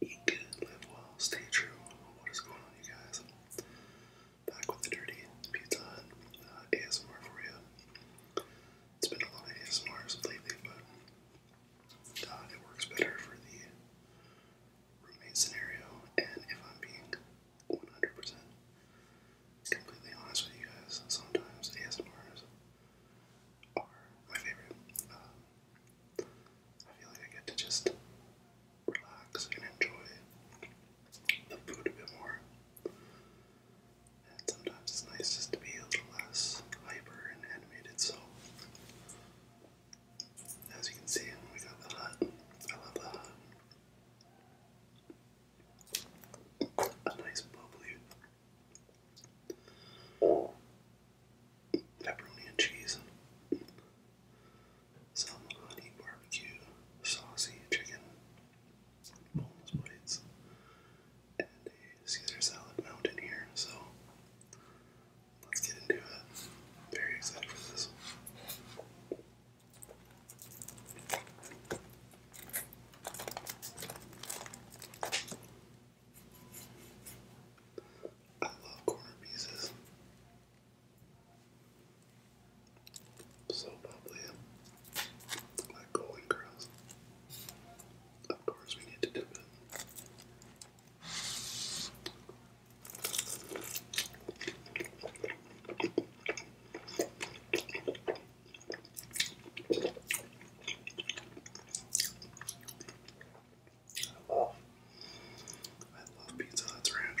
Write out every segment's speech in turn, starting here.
Eat good, live well, stay true. What is going on, you guys? Back with the Dirty Pizza Hut uh, ASMR for you. It's been a lot of ASMRs lately, but uh, it works better for the roommate scenario. And if I'm being 100% completely honest with you guys, sometimes ASMRs are my favorite. Uh, I feel like I get to just relax and enjoy the food a bit more. And sometimes it's nice just to be a little less hyper and animated. So, as you can see, we got the hut. I love the hut. A nice bubbly pepperoni and cheese, some honey barbecue, saucy chicken, boneless plates, and a Caesar salad mountain here. So let's get into it. Very excited for this. I love corner pieces. So bubbly. Like golden curls. Of course we need to do it. Oh, I love Pizza Hut's Ranch.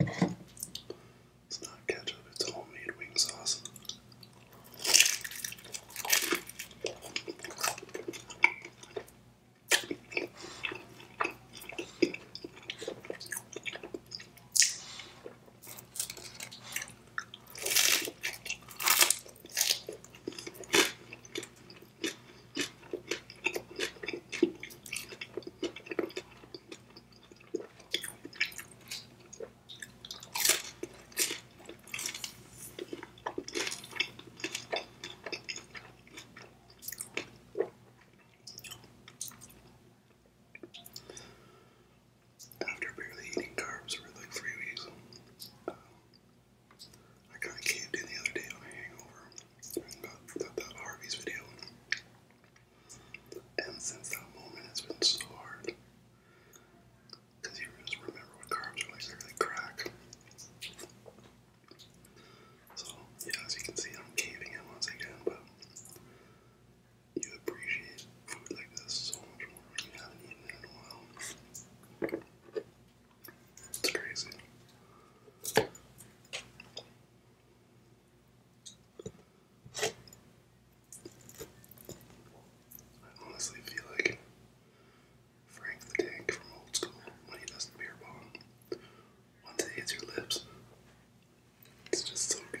It's not ketchup, it's homemade wing sauce. After barely eating carbs for like three weeks, um, I kind caved in the other day on a hangover and that Harvey's video. And since that moment, it's been so hard. Because you just remember what carbs are really crack. So, yeah, as you can see, I'm caving in once again, but you appreciate food like this so much more you haven't eaten in a while. It's crazy. I honestly feel like Frank the Tank from Old School when he does the beer bomb. Once it hits your lips, it's just so good.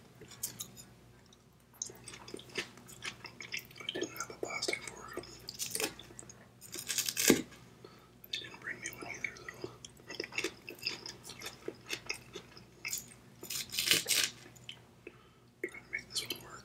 I didn't have a plastic fork. They didn't bring me one either, though. Trying to make this work.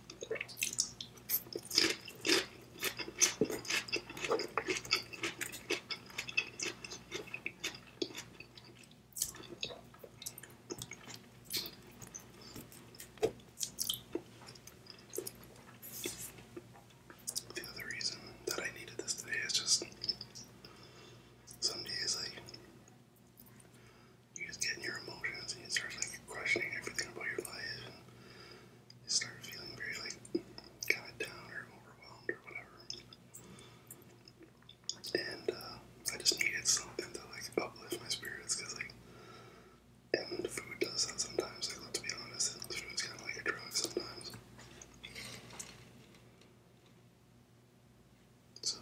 The other reason that I needed this today is just some days like you just get in your emotions and you start like questioning everything about your life I start feeling very like kind of down or overwhelmed or whatever. And uh, I just needed something to like uplift my spirits because like, and food does that sometimes. Like let's be honest, food's kind of like a drug sometimes. So.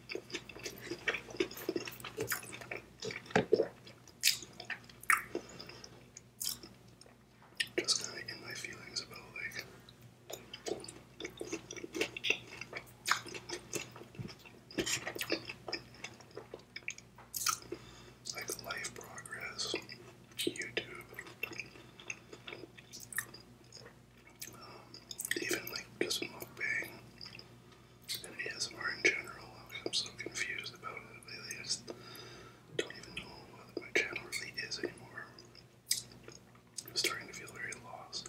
Just kind of in my feelings about like. Like life progress, YouTube, um, even like just mukbang and ASMR in general, I'm so confused about it lately. I just don't even know what my channel really is anymore. I'm starting to feel very lost.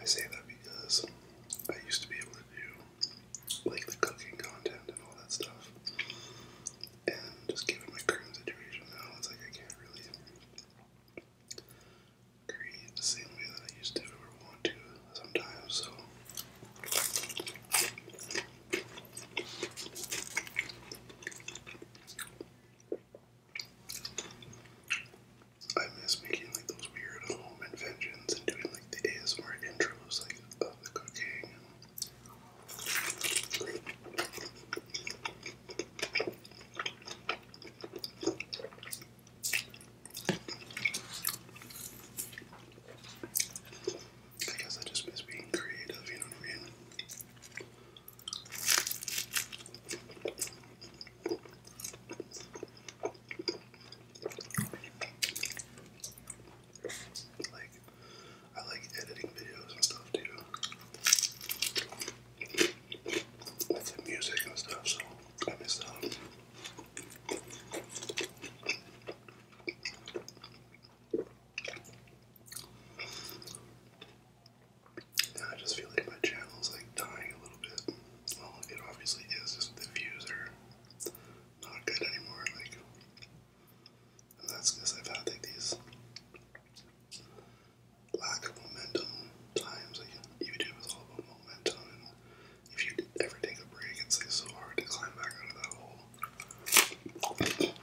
I say that because I used to be able to do like the cooking content and all that stuff. And just given my current situation now, it's like I can't really create the same way that I used to or want to sometimes, so I miss making like those weird home inventions and doing like the ASMR intros like of the cooking I guess I just miss being creative, you know what I mean? Like, I like editing videos and stuff too. With the music and stuff, so I miss out. I just feel like my channel's like dying a little bit. Well, it obviously is, just the views are not good anymore. Like, that's because I've had like these lack of momentum times. Like, YouTube is all about momentum, and if you ever take a break, it's like so hard to climb back out of that hole.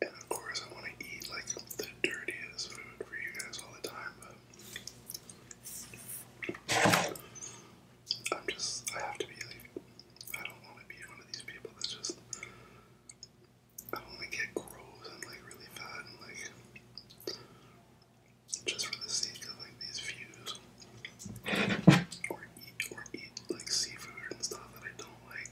And of course, I want to eat like the dirtiest food for you guys all the time, but I'm just, I have to be like, I don't want to be one of these people that's just, I don't want to get gross and like really fat and like, just for the sake of like these views. Or eat, or eat like seafood and stuff that I don't like.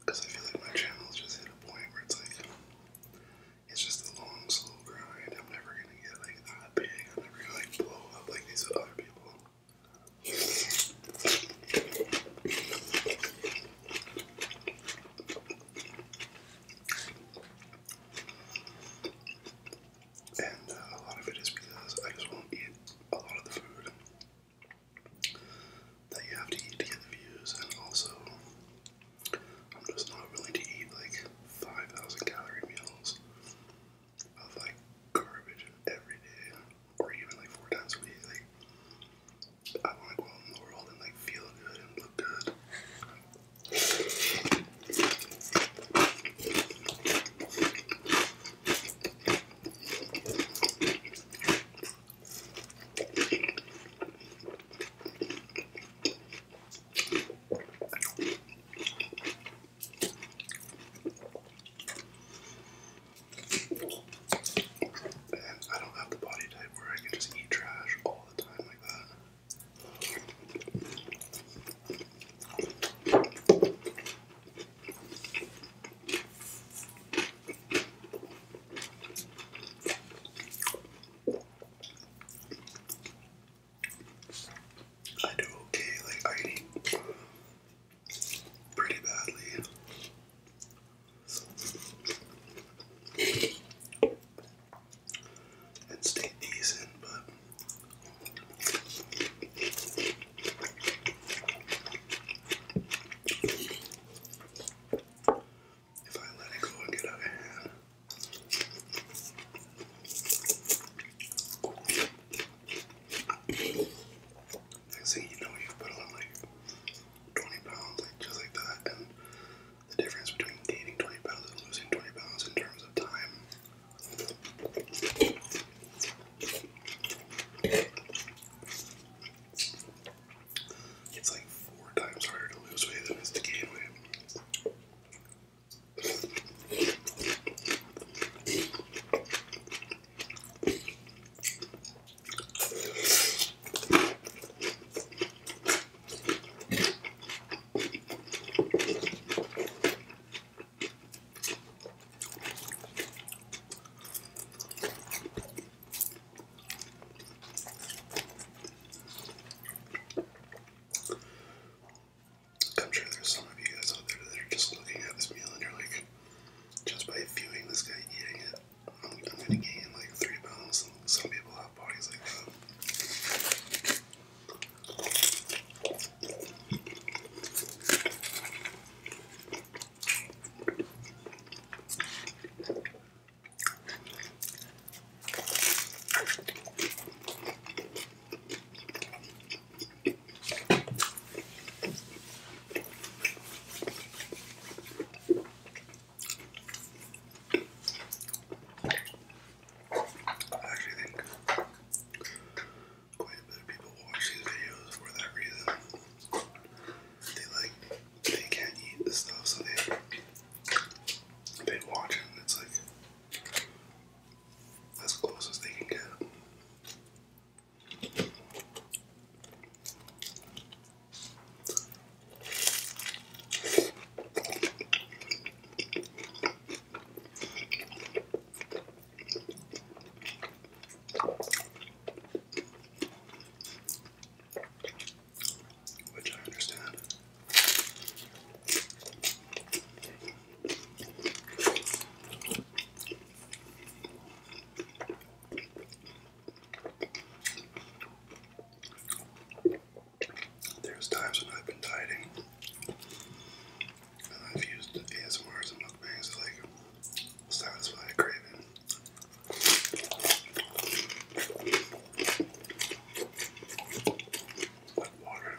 Because I feel like my channel's just hit a point where it's like, it's just a long, slow grind. I'm never gonna get like that big. I'm never gonna blow up like these other people. And uh, a lot of it is because I just won't eat a lot of the food that you have to eat to get the views, and also I'm just not willing to eat like 5,000 calorie meals of like garbage every day, or even like four times a week. Like I want to go out in the world and like feel good and look good. And I don't have the body type where I can just eat trash all I do okay, like I eat pretty badly and stay decent, but if I let it go and get out you know, you put on like 20 pounds, like just like that, and the difference between gaining 20 pounds and losing 20 pounds in terms of time. It's like four times harder to lose weight than it is to gain weight. I'm sure there's some of you guys out there that are just looking at this meal and you're like, just by viewing this guy eating it, I'm gonna gain like three pounds. Some people have bodies like that. I actually think quite a bit of people watch these videos for that reason. They like they can't eat the stuff, so they they watch it it's like as close as they can get. Which I understand. There's times when I've been dieting and I've used ASMRs and mukbangs to like satisfy a craving. Like water.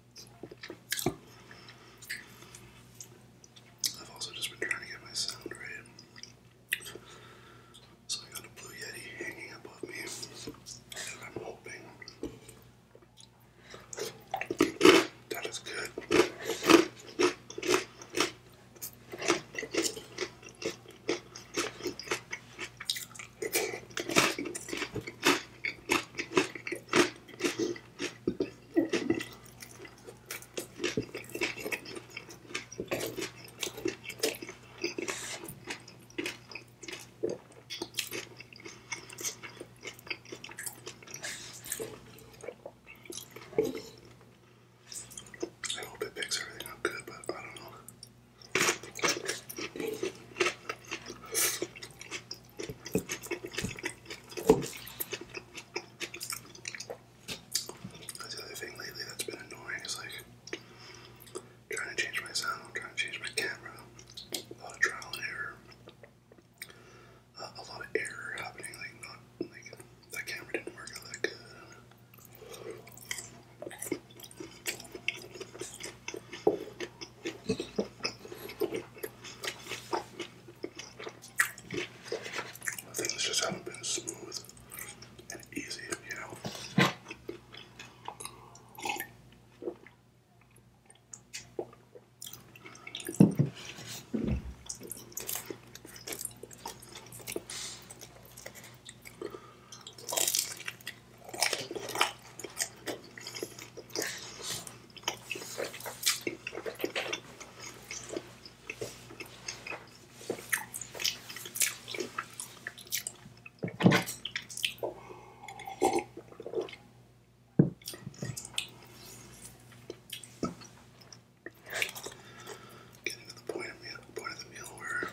I've also just been trying to get my sound right. So I got a Blue Yeti hanging above me that I'm hoping that is good. I hope it picks everything up good, but I don't know. That's the thing lately that's been annoying is like trying to change my sound, trying to change my camera. A lot of trial and error. Uh, a lot of error happening, like not like that camera didn't work that good. Things just haven't been smooth and easy, you know. Getting to the point of, meal, point of the meal where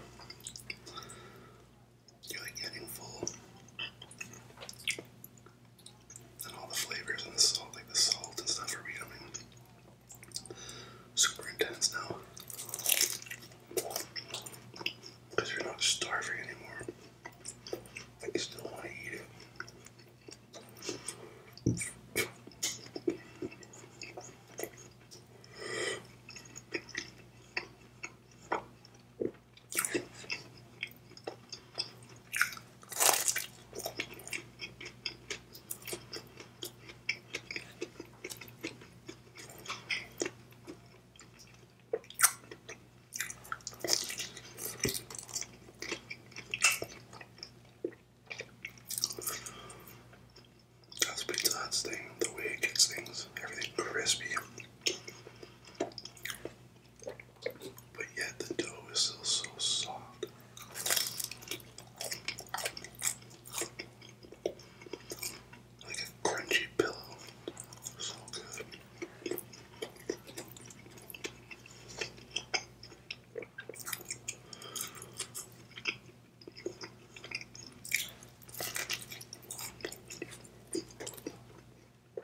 you're like getting full and all the flavors and the salt, like the salt and stuff, are becoming super intense now. Because you're not starving anymore. Like, you still want to eat it. That's Pizza Hut's the way it gets things, everything crispy but yet the dough is still so soft. Like a crunchy pillow. So good.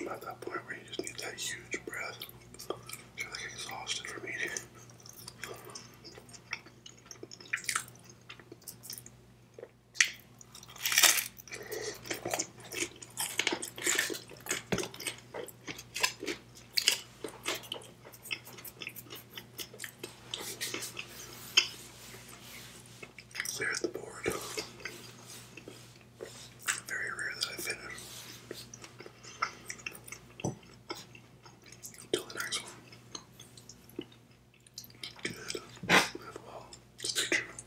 I'm at that point where you just need that huge breath. You're like exhausted from eating. Clear the board. Very rare that I finish. Until the next one. Good. Live well. Stay true.